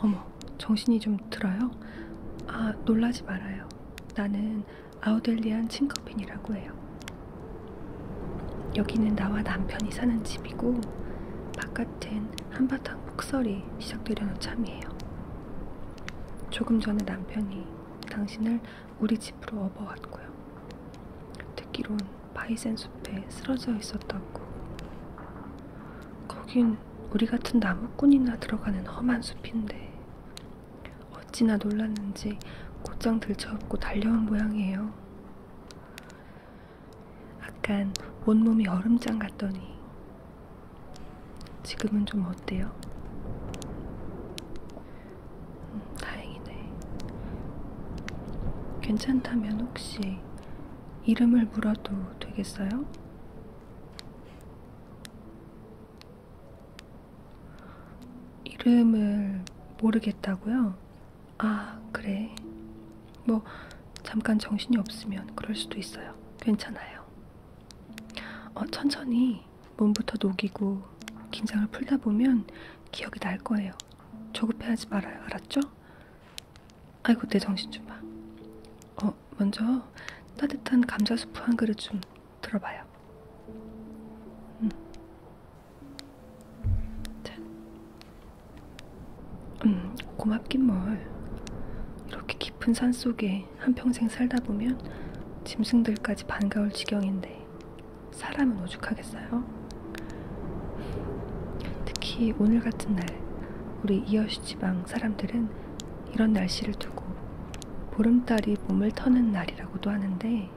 어머, 정신이 좀 들어요? 아, 놀라지 말아요. 나는 아우델리안 친커핀이라고 해요. 여기는 나와 남편이 사는 집이고 바깥엔 한바탕 폭설이 시작되려는 참이에요. 조금 전에 남편이 당신을 우리 집으로 업어왔고요. 듣기론 바이센 숲에 쓰러져 있었다고. 거긴 우리 같은 나무꾼이나 들어가는 험한 숲인데 어찌나 놀랐는지 곧장 들쳐업고 달려온 모양이에요. 아깐 온몸이 얼음장 같더니 지금은 좀 어때요? 음, 다행이네. 괜찮다면 혹시 이름을 물어도 되겠어요? 이름을 모르겠다고요? 아, 그래. 뭐, 잠깐 정신이 없으면 그럴 수도 있어요. 괜찮아요. 어, 천천히 몸부터 녹이고 긴장을 풀다 보면 기억이 날 거예요. 조급해하지 말아요. 알았죠? 아이고 내 정신 좀 봐. 어 먼저 따뜻한 감자수프 한 그릇 좀 들어봐요. 음. 자. 음 고맙긴 뭘. 이렇게 깊은 산 속에 때문에 한평생 살다 보면 짐승들까지 반가울 지경인데 사람은 오죽하겠어요? 특히 오늘 같은 날 우리 이어시 지방 사람들은 이런 날씨를 두고 보름달이 몸을 터는 날이라고도 하는데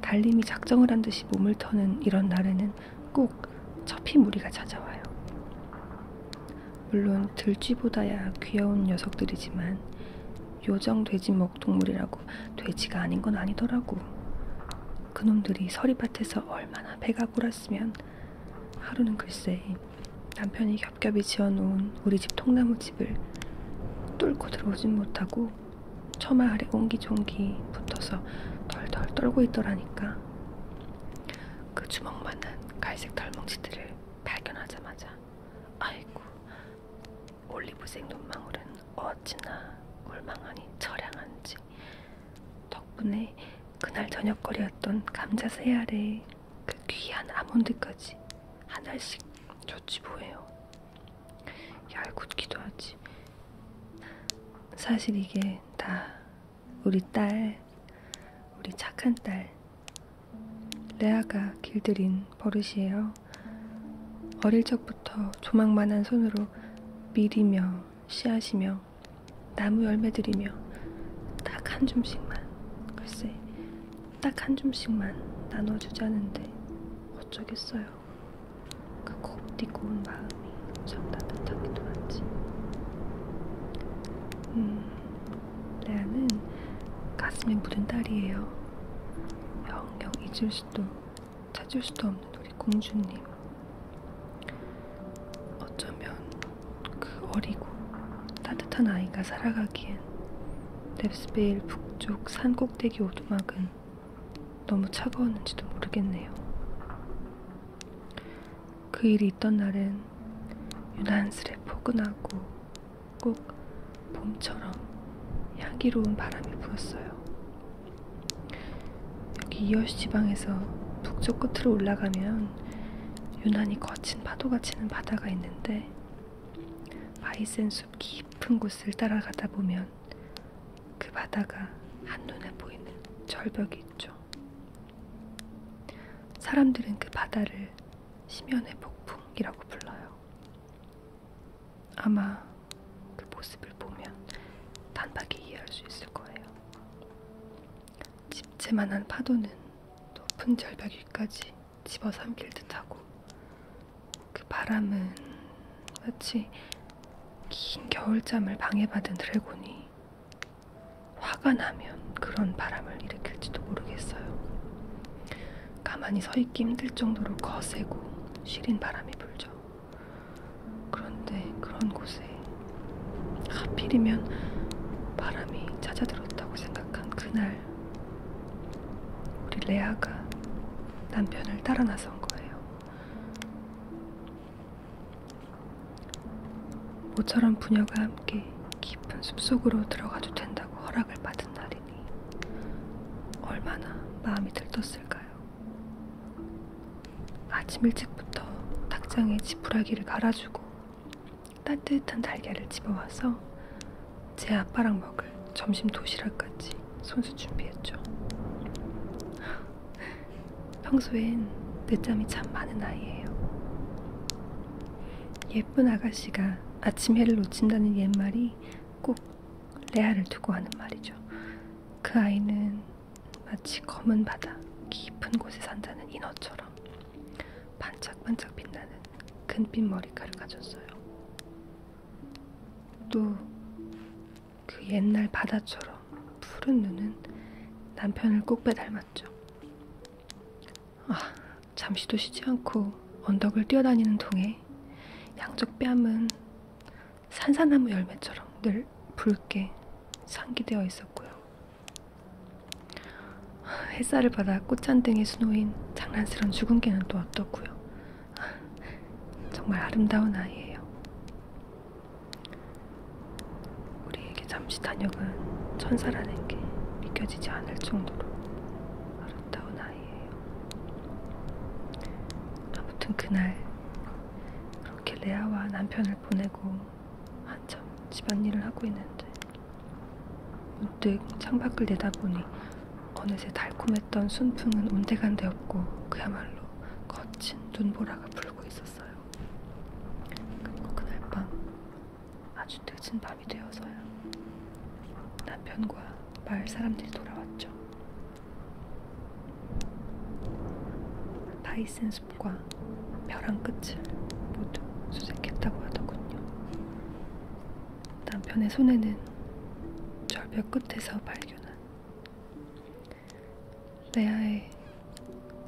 달님이 작정을 한 듯이 몸을 터는 이런 날에는 꼭 처피 무리가 찾아와요. 물론 들쥐보다야 귀여운 녀석들이지만 요정 돼지 먹 원목 동물이라고 돼지가 아닌 건 아니더라고. 그놈들이 서리밭에서 얼마나 배가 골았으면 하루는 글쎄 남편이 겹겹이 지어놓은 우리 집 통나무 집을 뚫고 들어오진 못하고 처마 아래 옹기종기 붙어서 덜덜 떨고 있더라니까. 그 주먹만한 갈색 덜멍지들을 발견하자마자 아이고 올리브색 눈망울은 어찌나 물망하니 처량한지 덕분에 그날 저녁거리였던 감자 새 알에 그 귀한 아몬드까지 한 알씩 줬지 뭐예요. 얄궂기도 하지. 사실 이게 다 우리 딸, 우리 착한 딸 레아가 길들인 버릇이에요. 어릴 적부터 조망만한 손으로 밀이며 씨앗이며 나무 열매들이며 딱 한 줌씩만 글쎄 딱 한 줌씩만 나눠주자는데 어쩌겠어요. 그 곱디 고운 마음이 참 따뜻하기도 하지. 음, 레아는 가슴에 묻은 딸이에요. 영영 잊을 수도 찾을 수도 없는 우리 공주님. 어쩌면 그 어리고 따뜻한 아이가 살아가기엔 랩스베일 북쪽 산 꼭대기 오두막은 너무 차가웠는지도 모르겠네요. 그 일이 있던 날엔 유난스레 포근하고 꼭 봄처럼 향기로운 바람이 불었어요. 여기 이어시 지방에서 북쪽 끝으로 올라가면 유난히 거친 파도가 치는 바다가 있는데 바이센숲 깊은 곳을 따라가다 보면 그 바다가 한눈에 보이는 절벽이 있죠. 사람들은 그 바다를 심연의 폭풍이라고 불러요. 아마 그 모습을 보면 단박에 이해할 수 있을 거예요. 집채만한 파도는 높은 절벽 위까지 집어삼킬 듯하고 그 바람은 마치 긴 겨울잠을 방해받은 드래곤이 화가 나면 그런 바람을 일으킬지도 모르겠어요. 가만히 서 있기 힘들 정도로 거세고 시린 바람이 불죠. 그런데 그런 곳에 하필이면 바람이 찾아들었다고 생각한 그날 우리 레아가 남편을 따라 나선 거예요. 모처럼 부녀가 함께 깊은 숲속으로 들어가도 된다고 허락을 받은 날이 얼마나 마음이 들떴을까요? 아침 일찍부터 닭장에 지푸라기를 갈아주고 따뜻한 달걀을 집어와서 제 아빠랑 먹을 점심 도시락까지 손수 준비했죠. 평소엔 늦잠이 참 많은 아이예요. 예쁜 아가씨가 아침 해를 놓친다는 옛말이 꼭 레아를 두고 하는 말이죠. 그 아이는 마치 검은 바다 깊은 곳에 산다는 인어처럼 반짝반짝 빛나는 금빛 머리카락을 가졌어요. 또 그 옛날 바다처럼 푸른 눈은 남편을 꼭 빼닮았죠. 아, 잠시도 쉬지 않고 언덕을 뛰어다니는 동에 양쪽 뺨은 산사나무 열매처럼 늘 붉게 상기되어 있었고요. 햇살을 받아 꽃잔등에 수놓인 장난스런 주근개는 또 어떻고요. 정말 아름다운 아이예요. 우리에게 잠시 단역은 천사라는 게 믿겨지지 않을 정도로 아름다운 아이. 사이에요. 아무튼 그날 그렇게 레아와 남편을 보내고 한참 집안일을 하고 있는데 문득 창밖을 내다보니 어느새 달콤했던 순풍은 온데간데 없고 그야말로 거친 눈보라가 불고 있었어요. 그리고 그날 밤 아주 늦은 밤이 되어서야 남편과 마을 사람들이 돌아왔죠. 파이슨 숲과 벼랑 끝을 모두 수색했다고 하더군요. 남편의 손에는 절벽 끝에서 발견한 레아의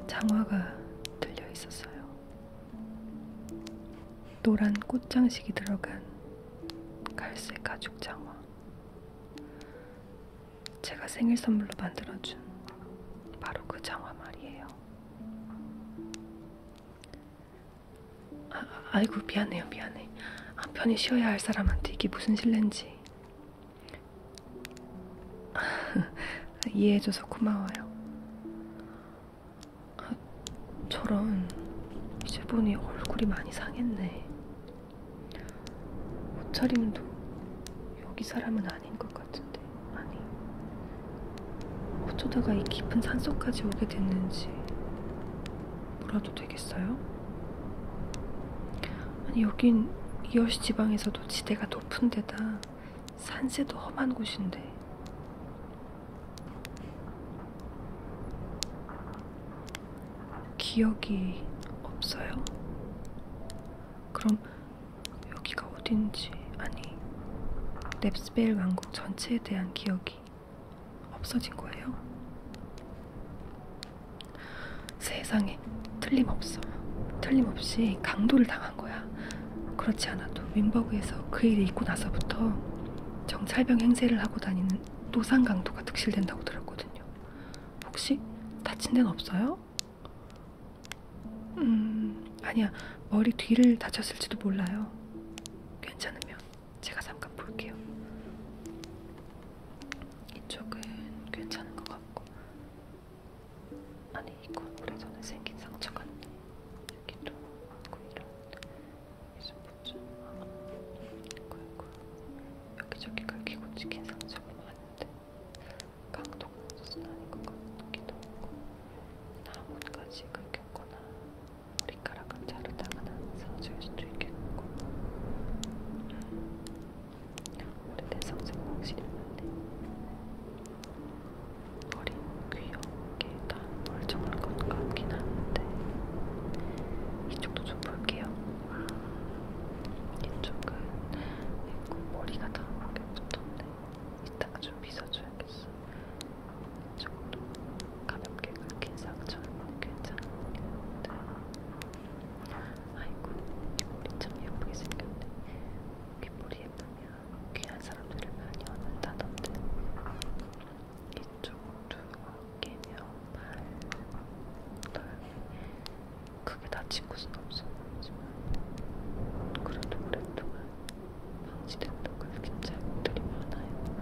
장화가 들려 있었어요. 노란 꽃장식이 들어간 갈색 가죽 장화. 제가 생일 선물로 만들어준 바로 그 장화 말이에요. 아, 아 아이고 미안해요 미안해. 한편히 쉬어야 할 사람한테 이게 무슨 실례인지. 이해해줘서 고마워요. 아, 저런. 이제 보니 얼굴이 많이 상했네. 옷차림도 여기 사람은 아닌 것 같은데. 아니. 어쩌다가 이 깊은 산속까지 오게 됐는지 몰라도 되겠어요? 아니, 여긴 이어시 지방에서도 지대가 높은 데다 산세도 험한 곳인데 기억이 없어요? 그럼 여기가 어딘지, 아니, 넵스벨 왕국 전체에 대한 기억이 없어진 거예요? 세상에, 틀림없어. 틀림없이 강도를 당한 거야. 그렇지 않아도 윈버그에서 그 일이 있고 나서부터 정찰병 행세를 하고 다니는 노상 강도가 득실된다고 들었거든요. 혹시 다친 데는 없어요? 음, 아니야. 머리 뒤를 다쳤을지도 몰라요. 괜찮으면 제가 잠깐 볼게요. 이쪽은 괜찮은 것 같고, 아니 이건 오래전에 생긴 상처 같네. 여기도 있고 이런. 이제 보자. 아이고 여기저기 긁히고 찍힌 상처가 많은데 강동무는 아닌 것 같기도 하고 나뭇가지 긁혔거나 머리카락을 자르다거나 상처일 수도 있겠고 오래된 상처가 확실히 많네 어린 귀엽게 다 멀쩡할 것 같긴 한데 이쪽도 좀 볼게요. 아, 이쪽은 머리가 다 보게 붙었네. 이따가 좀 빗어줘야겠어. 이쪽도 가볍게 긁힌 상처는 괜찮은 머리인데 아이고 귀머리 참 예쁘게 생겼네. 귀머리 예쁘면 귀한 사람들을 많이 얻는다던데. 조금 두껍게며 팔 넓이 크게 다친 곳은 없어 보이지만 그래도 오랫동안 방치됐던 그런 긴장들이 많아요.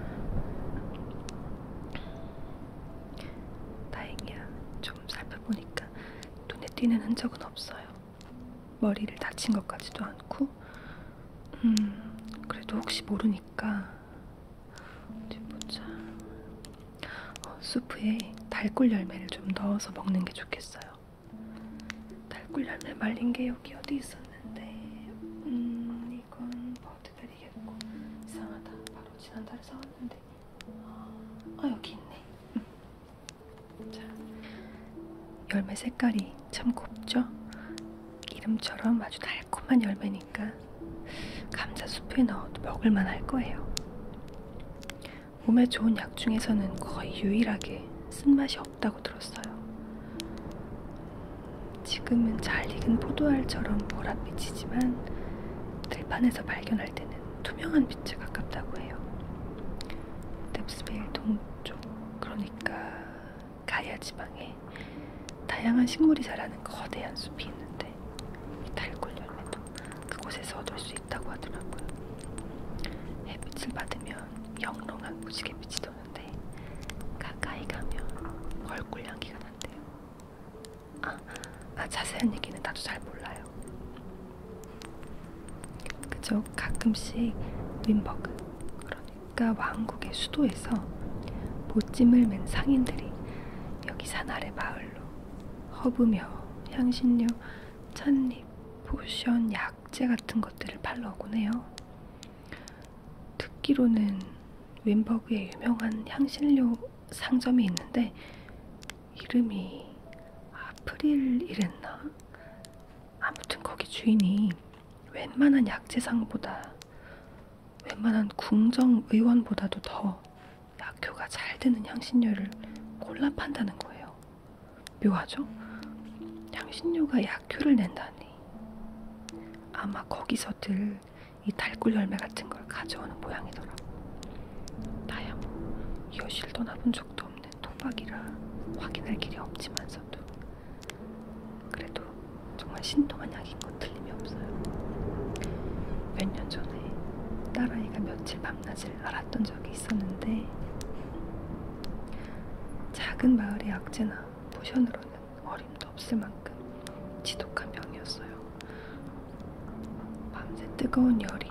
다행이야. 좀 살펴보니까 눈에 띄는 흔적은 없어요. 머리를 다친 것까지도 않고 음, 그래도 혹시 모르니까 어디 보자. 어, 수프에 달꿀 열매를 좀 넣어서 먹는 게 좋겠어요. 달꿀 열매 말린 게 여기 어디 있었는데, 음, 이건 버드베리겠고 이상하다. 바로 지난달에 사왔는데, 아 여기 있네. 자, 열매 색깔이 참 곱죠? 이름처럼 아주 달콤한 열매니까 감자 수프에 넣어도 먹을만 할 거예요. 몸에 좋은 약 중에서는 거의 유일하게 쓴맛이 없다고 들었어요. 지금은 잘 익은 포도알처럼 보랏빛이지만 들판에서 발견할 때는 투명한 빛에 가깝다고 해요. 넵스빌 동쪽, 그러니까 가야 지방에 다양한 식물이 자라는 거대한 숲이 있는데 이 달골 열매도 그곳에서 얻을 수 있다고 하더라고요. 햇빛을 받으면 영롱한 무지개 빛이 도는데 가까이 가면 얼굴 향기가 난대요. 아, 아 자세한 얘기는 나도 잘 몰라요. 그저 가끔씩 윈버그 그러니까 아프리카 왕국의 수도에서 보찜을 맨 상인들이 여기 산아래 마을로 허브며 향신료, 찻잎, 포션, 약재 같은 것들을 팔러 오곤 해요. 듣기로는 윈버그에 유명한 향신료 상점이 있는데 이름이 아프릴 이랬나? 아무튼 거기 주인이 웬만한 약재상보다 웬만한 궁정 의원보다도 더 약효가 잘 드는 향신료를 골라 판다는 거예요. 묘하죠? 향신료가 약효를 낸다니. 아마 거기서들 이 달굴 열매 같은 걸 가져오는 모양이더라. 나야 뭐 이웃실 떠나본 적도 없는 토박이라 확인할 길이 없지만서도 그래도 정말 신통한 약인 건 틀림이 없어요. 몇 년 전에 딸아이가 며칠 밤낮을 알았던 적이 있었는데 작은 마을의 약재나 포션으로는 어림도 없을 만큼 지독한 병이었어요. 밤새 뜨거운 열이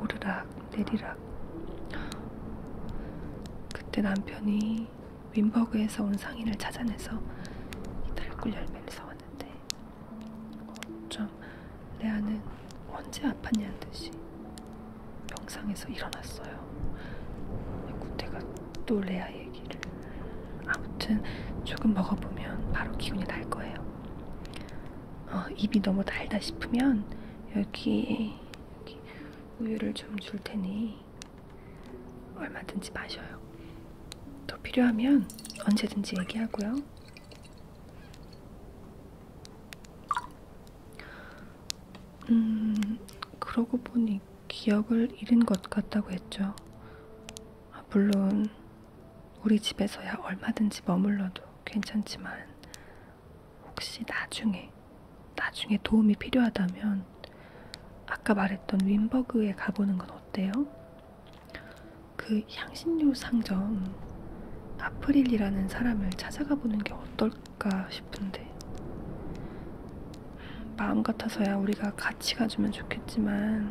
오르락 내리락 그때 남편이 우리 윈버그에서 온 상인을 찾아내서 이 달굴 열매를 사왔는데 좀 레아는 언제 아팠냐는 듯이 병상에서 일어났어요. 그때가 또 레아 얘기를 아무튼 조금 먹어보면 바로 기운이 날 거예요. 어, 입이 너무 달다 싶으면 여기, 여기 우유를 좀 줄 테니 얼마든지 마셔요. 또 필요하면 언제든지 얘기하고요. 음, 그러고 보니 기억을 잃은 것 같다고 했죠. 아, 물론, 우리 집에서야 얼마든지 머물러도 괜찮지만, 혹시 나중에 나중에 도움이 필요하다면 아까 말했던 윈버그에 가보는 건 어때요? 그 향신료 상점 아프릴이라는 사람을 찾아가 보는 게 어떨까 싶은데 마음 같아서야 우리가 같이 가주면 좋겠지만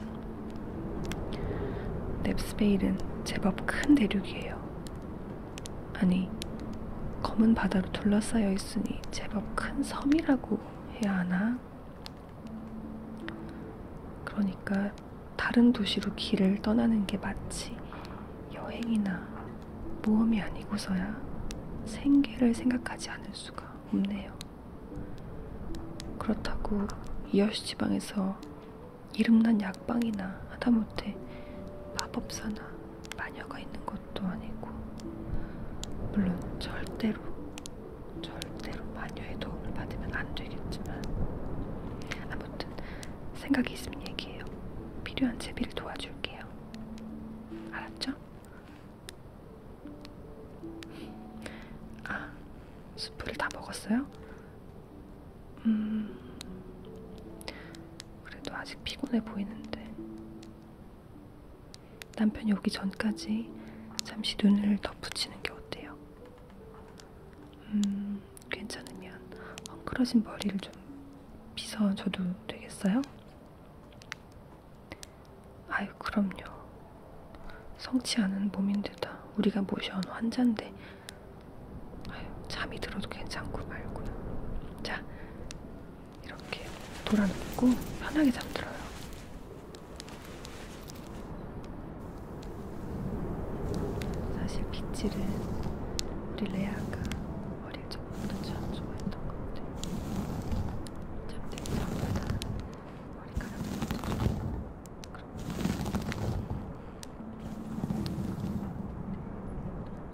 넵스베일은 제법 큰 대륙이에요. 아니 검은 바다로 둘러싸여 있으니 제법 큰 섬이라고 해야 하나? 그러니까 다른 도시로 길을 떠나는 게 마치 여행이나 모험이 아니고서야 생계를 생각하지 않을 수가 없네요. 그렇다고 이어시 지방에서 이름난 약방이나 하다못해 마법사나 마녀가 있는 것도 아니고, 물론 절대로, 절대로 마녀의 도움을 받으면 안 되겠지만, 아무튼 생각이 있으면 얘기해요. 필요한 제비를 도와줄게요. 알았죠? 아, 수프를 다 먹었어요? 음, 그래도 아직 피곤해 보이는데. 남편이 오기 전까지 잠시 눈을 덧붙이는 게 어때요? 음, 괜찮으면 헝클어진 머리를 좀 빗어줘도 되겠어요? 아유, 그럼요. 성치 않은 몸인데다 우리가 모셔온 환자인데 아유, 잠이 들어도 괜찮고 말고요. 자, 이렇게 돌아눕고 편하게 잠들어요. 사실 빗질은 우리 레아가 머리를 조금도 참 좋아했던 것 같아요. 잠들 때마다 머리카락을 만져주고 그런 거.